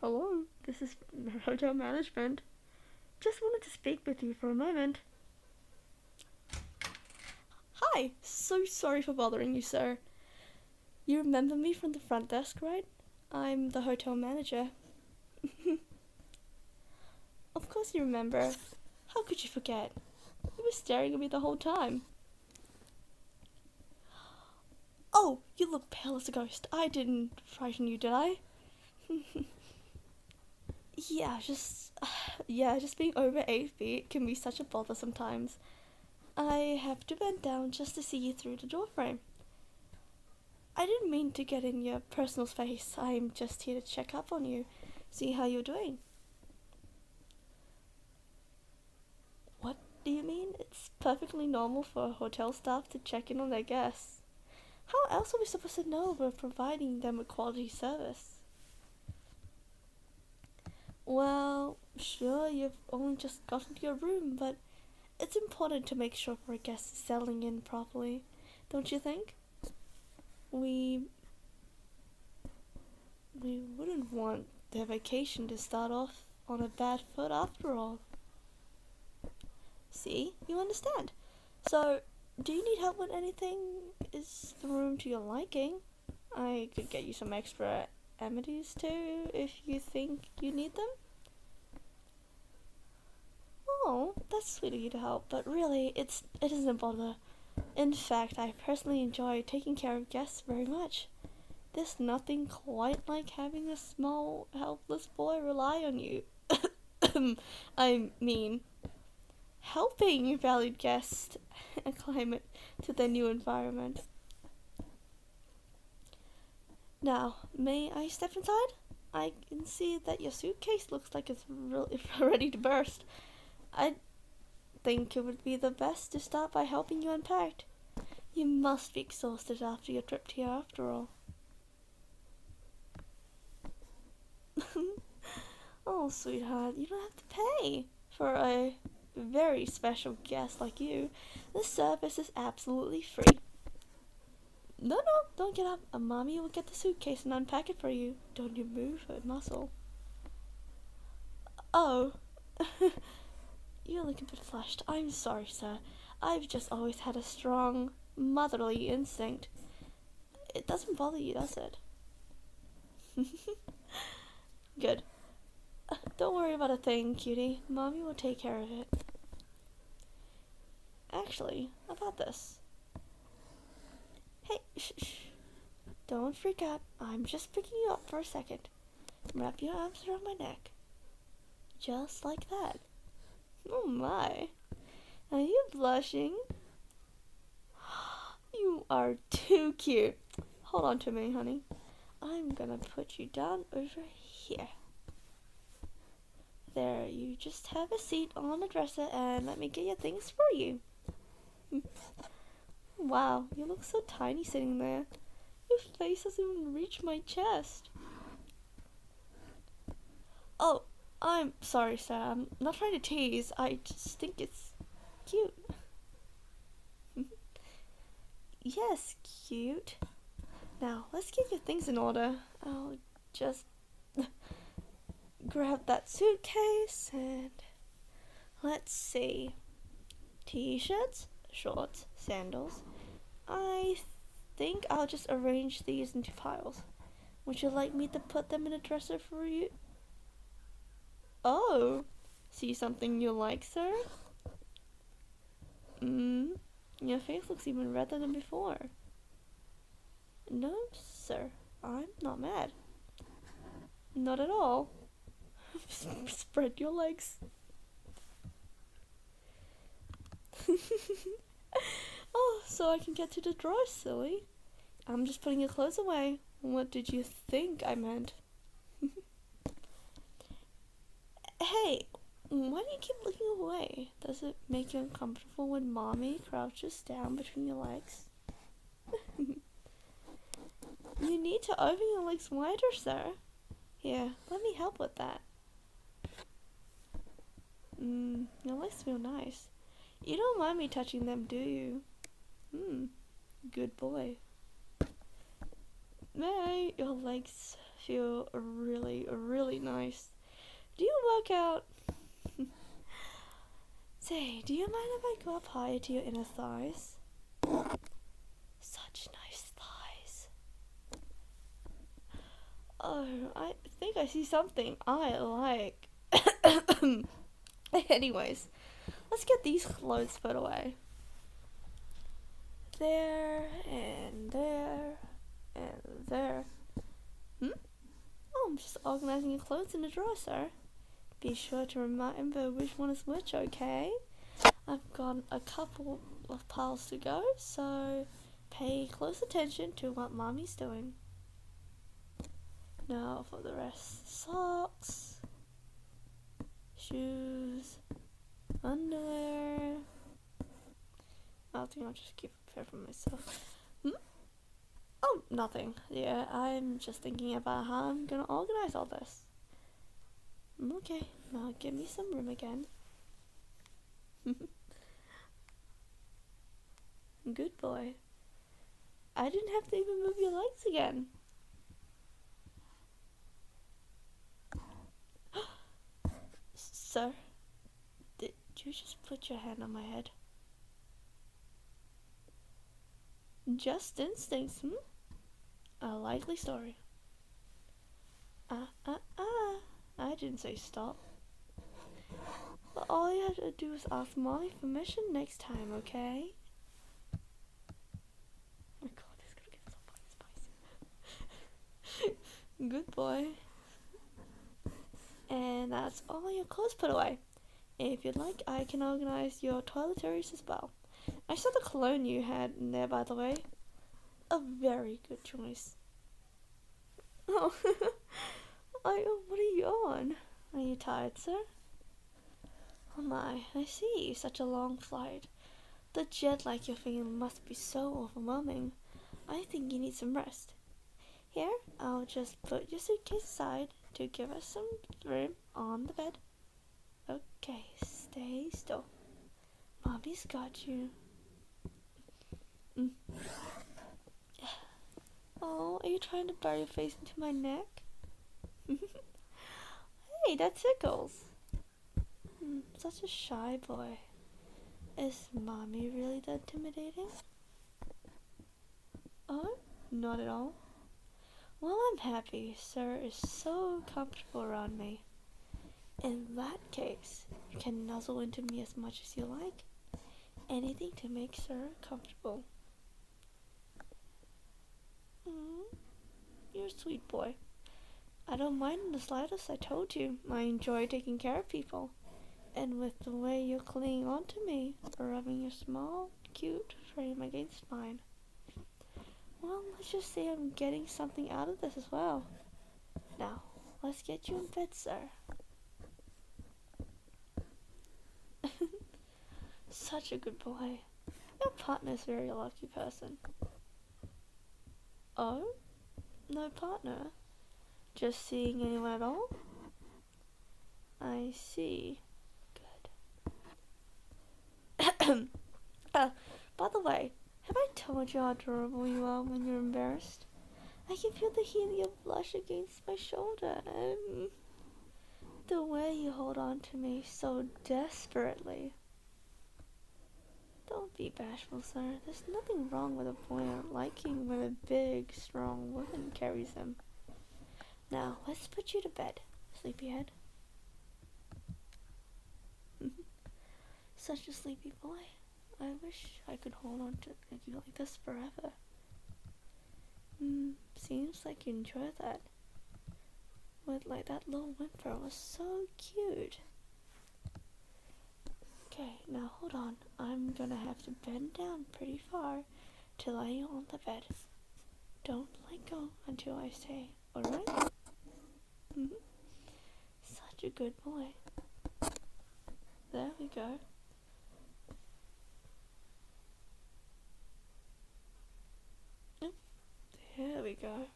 Hello, this is hotel management. Just wanted to speak with you for a moment. Hi, so sorry for bothering you, sir. You remember me from the front desk, right? I'm the hotel manager. of course you remember. How could you forget? You were staring at me the whole time. Oh, you look pale as a ghost. I didn't frighten you, did I? yeah, just yeah, just being over eight feet can be such a bother sometimes. I have to bend down just to see you through the doorframe. I didn't mean to get in your personal space. I'm just here to check up on you, see how you're doing. What do you mean? It's perfectly normal for hotel staff to check in on their guests. How else are we supposed to know we're providing them a quality service? Well, sure, you've only just gotten to your room, but it's important to make sure our guests is settling in properly, don't you think? We we wouldn't want their vacation to start off on a bad foot after all. See? You understand. So, do you need help with anything? Is the room to your liking? I could get you some extra amenities too if you think you need them. Oh, that's sweet of you to help, but really, it's it isn't a bother. In fact, I personally enjoy taking care of guests very much. There's nothing quite like having a small, helpless boy rely on you. I mean, helping valued guests acclimate to their new environment. Now, may I step inside? I can see that your suitcase looks like it's re- ready to burst. i think it would be the best to start by helping you unpack. You must be exhausted after your trip here after all. oh, sweetheart, you don't have to pay for a very special guest like you. The service is absolutely free. No, no, don't get up. A mommy will get the suitcase and unpack it for you don't you move a muscle? Oh, you are looking a bit flushed. I'm sorry, sir. I've just always had a strong motherly instinct. It doesn't bother you, does it? Good. Don't worry about a thing, cutie. Mommy will take care of it. Actually, about this. Hey, shh, shh. Don't freak out. I'm just picking you up for a second. Wrap your arms around my neck. Just like that. Oh my. Are you blushing? You are too cute. Hold on to me, honey. I'm gonna put you down over here. There, you just have a seat on the dresser and let me get your things for you. Wow, you look so tiny sitting there. Your face doesn't even reach my chest. Oh, I'm sorry, Sam. I'm not trying to tease. I just think it's cute. yes, cute. Now, let's get your things in order. i just grab that suitcase and let's see. T shirts, shorts, sandals. I think I'll just arrange these into piles. Would you like me to put them in a dresser for you? Oh, see something you like, sir? Mm, your face looks even redder than before. No, sir, I'm not mad. Not at all. Spread your legs. oh, so I can get to the drawer, silly. I'm just putting your clothes away. What did you think I meant? hey, why do you keep looking away? Does it make you uncomfortable? comfortable when mommy crouches down between your legs? you need to open your legs wider, sir. Yeah, let me help with that. Mmm, your legs feel nice. You don't mind me touching them, do you? Hmm, good boy. May your legs feel really, really nice. Do you work out? Say, do you mind if I go up higher to your inner thighs? Such nice thighs. Oh, I think I see something I like. Anyways, let's get these clothes put away. There and there and there. Hmm? Oh, I'm just organizing your clothes in a drawer, sir. Be sure to remember which one is which, okay? I've got a couple of piles to go, so pay close attention to what mommy's doing. Now for the rest socks, shoes, underwear. I think I'll just keep keep fair for myself. Hmm? Oh, nothing. Yeah, I'm just thinking about how I'm gonna organize all this. Hmm, okay, now give me some room again. Good boy. I didn't have to even move your legs again. Sir? Did you just put your hand on my head? Just instincts, hmm? A likely story. Ah, ah, ah. I didn't say stop. But all you have to do is ask Molly for permission next time, okay? my god, this gonna get so spicy. Good boy. And that's all your clothes put away. If you'd like, I can organize your toiletries as well. I saw the cologne you had in there, by the way. A very good choice. Oh, I, what are you on? Are you tired, sir? Oh my, I see, such a long flight. The jet lag you're feeling must be so overwhelming. I think you need some rest. Here, I'll just put your suitcase aside to give us some room on the bed. Okay, stay still. Mommy's got you. Mm. Oh, are you trying to bury your face into my neck? hey, that tickles. Hmm, such a shy boy. Is mommy really that intimidating? Oh, not at all. Well, I'm happy. Sir is so comfortable around me. In that case, you can nuzzle into me as much as you like. Anything to make Sir comfortable. Mm, you're a sweet boy. I don't mind in the slightest, I told you. I enjoy taking care of people and with the way you cling onto me, rubbing your small, cute frame against mine. Well, let's just say I'm getting something out of this as well. Now, let's get you in bed, sir. Such a good boy. Your partner's a very lucky person. Oh? no partner. Just seeing anyone at all? I see. Good. uh, by the way, have I told you how adorable you are when you're embarrassed? I can feel the heat of your blush against my shoulder. Um, the way you hold on to me so desperately. Don't be bashful, sir. There's nothing wrong with a boy liking when a big, strong woman carries him. Now, let's put you to bed, sleepyhead. Such a sleepy boy. I wish I could hold on to you like this forever. Mm, seems like you enjoy that. With like that little whimper was so cute. Okay, now hold on. I'm gonna have to bend down pretty far to lay you on the bed. Don't let go until I say, alright? Mm-hmm. Such a good boy. There we go. There we go.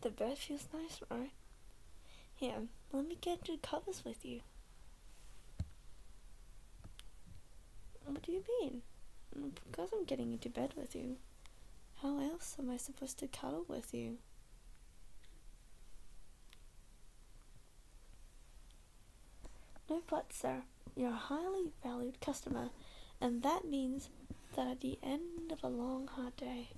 The bed feels nice, right? yeah, let me get the covers with you. What do you mean? Mm, because I'm getting into bed with you. How else am I supposed to cuddle with you? No but, sir, you're a highly valued customer, and that means that at the end of a long, hard day,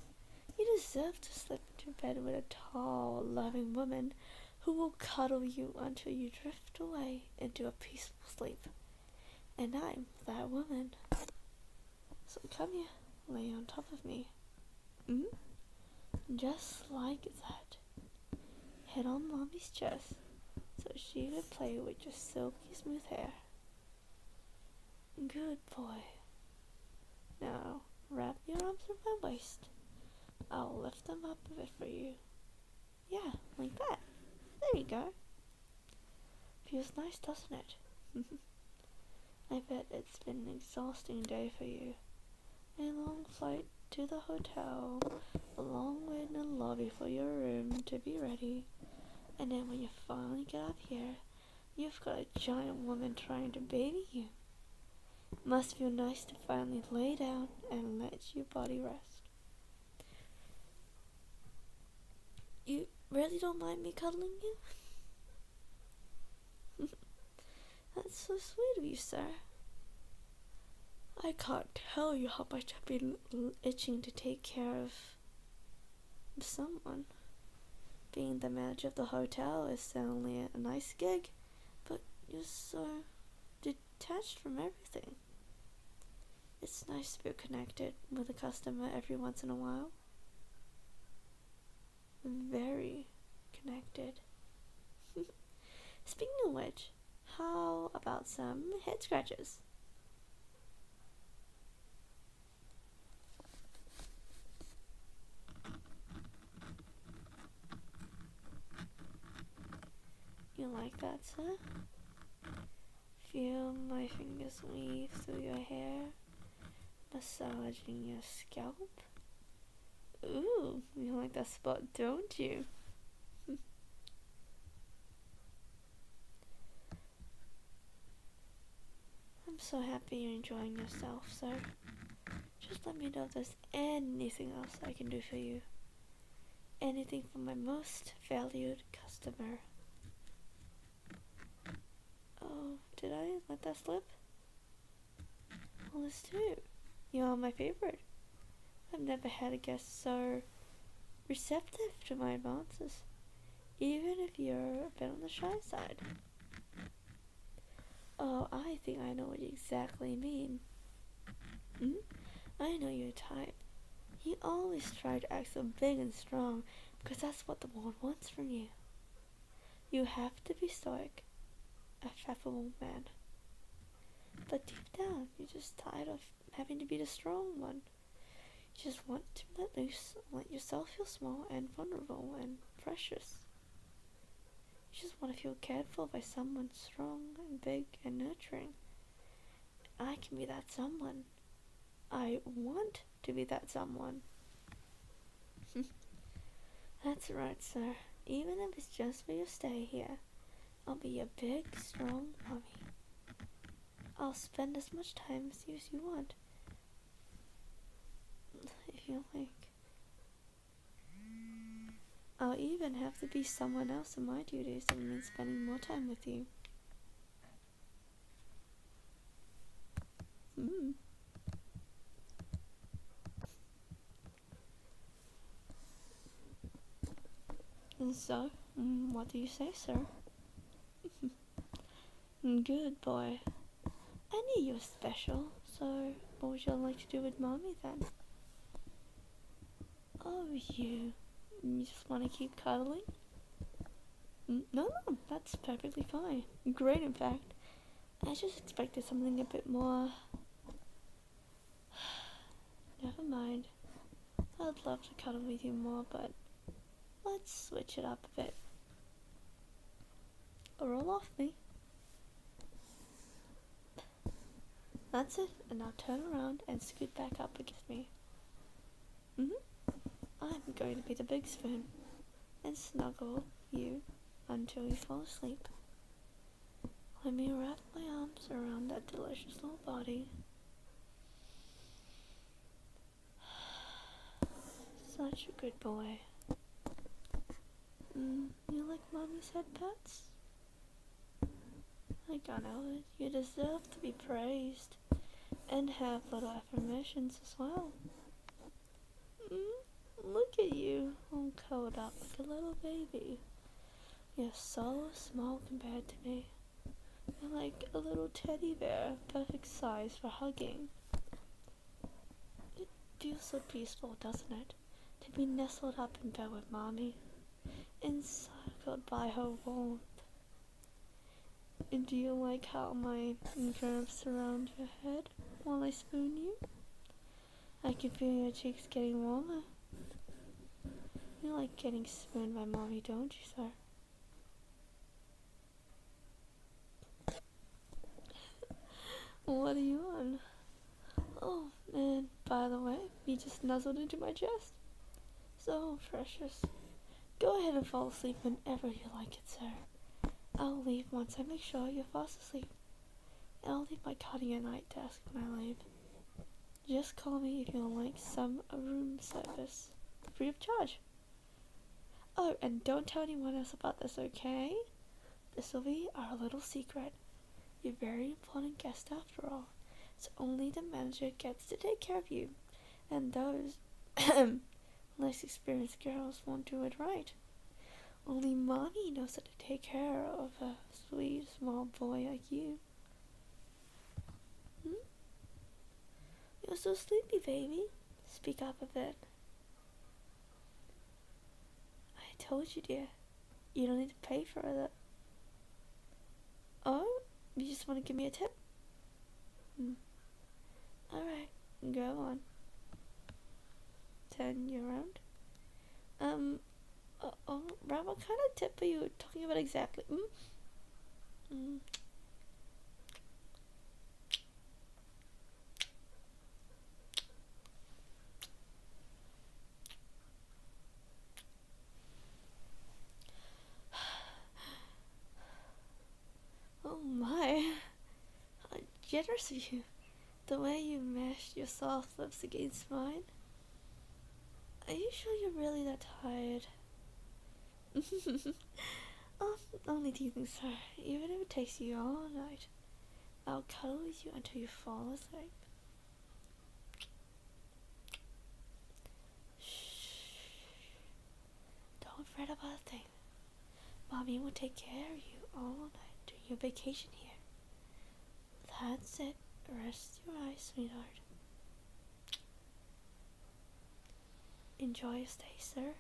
you deserve to slip into bed with a tall, loving woman who will cuddle you until you drift away into a peaceful sleep. And I'm that woman. So come here, lay on top of me. Mm-hmm. Just like that. Hid on Mommy's chest so she could play with your silky smooth hair. Good boy. Now, wrap your arms around my waist. I'll lift them up a bit for you. Yeah, like that. There you go. Feels nice, doesn't it? I bet it's been an exhausting day for you. A long flight to the hotel, a long wait in the lobby for your room to be ready, and then when you finally get up here, you've got a giant woman trying to baby you. Must feel nice to finally lay down and let your body rest. You really don't mind me cuddling you? That's so sweet of you, sir. I can't tell you how much I've been itching to take care of someone. Being the manager of the hotel is certainly a nice gig, but you're so detached from everything. It's nice to be connected with a customer every once in a while very connected. Speaking of which, how about some head scratches? You like that, sir? Feel my fingers weave through your hair, massaging your scalp. Ooh, you like that spot, don't you? I'm so happy you're enjoying yourself, so just let me know if there's anything else I can do for you. Anything for my most valued customer. Oh, did I let that slip? Well, this too. You are my favorite. I've never had a guest so receptive to my advances, even if you're a bit on the shy side. Oh, I think I know what you exactly mean. Mm? I know your type. You always try to act so big and strong because that's what the world wants from you. You have to be stoic, a fathomable man. But deep down, you're just tired of having to be the strong one. You just want to let loose, let yourself feel small and vulnerable and precious. You just want to feel cared for by someone strong and big and nurturing. I can be that someone. I want to be that someone. That's right, sir. Even if it's just for your stay here, I'll be your big, strong mummy. I'll spend as much time with you as you want. If you like. I'll even have to be someone else in my duties if it spending more time with you. Mm. so, mm, what do you say, sir? Mm, good boy. I knew you were special, so what would you all like to do with mommy then? Oh, you. You just want to keep cuddling? No, no, that's perfectly fine. Great, in fact. I just expected something a bit more. Never mind. I'd love to cuddle with you more, but let's switch it up a bit. Roll off me. That's it, and now turn around and scoot back up against me. hmm I'm going to be the big spoon and snuggle you until you fall asleep. Let me wrap my arms around that delicious little body. Such a good boy. Mm, you like mommy's head pats? I got out. You deserve to be praised and have little affirmations as well. Mm, look at you, all curled up like a little baby. You're so small compared to me. You're like a little teddy bear, perfect size for hugging. It feels so peaceful, doesn't it? To be nestled up in bed with mommy, encircled by her warmth. Do you like how my arms surround your head while I spoon you? I can feel your cheeks getting warmer. You like getting spooned by mommy, don't you, sir? What are you on? Oh, and by the way, you just nuzzled into my chest. So precious. Go ahead and fall asleep whenever you like it, sir. I'll leave once I make sure you're fast asleep. And I'll leave my card cutting your night desk when I leave. Just call me if you like some room service. Free of charge. Oh, and don't tell anyone else about this, okay? This will be our little secret. You're a very important guest after all. It's only the manager gets to take care of you. And those Less experienced girls won't do it right. Only mommy knows how to take care of a sweet small boy like you. Hmm? You're so sleepy, baby. Speak up a bit. I told you, dear. You don't need to pay for it. Oh, you just want to give me a tip? Hmm. Alright, go on. Turn you around. Um, uh, oh, Rob, what kind of tip are you talking about exactly? Mm? Mm. Oh my, how generous of you. The way you mashed your soft lips against mine. Are you sure you're really that tired? um, only teasing, sir. Even if it takes you all night, I'll cuddle with you until you fall asleep. Shh. Don't fret about a thing. Mommy will take care of you all night during your vacation here. That's it. Rest your eyes, sweetheart. Enjoy your stay, sir.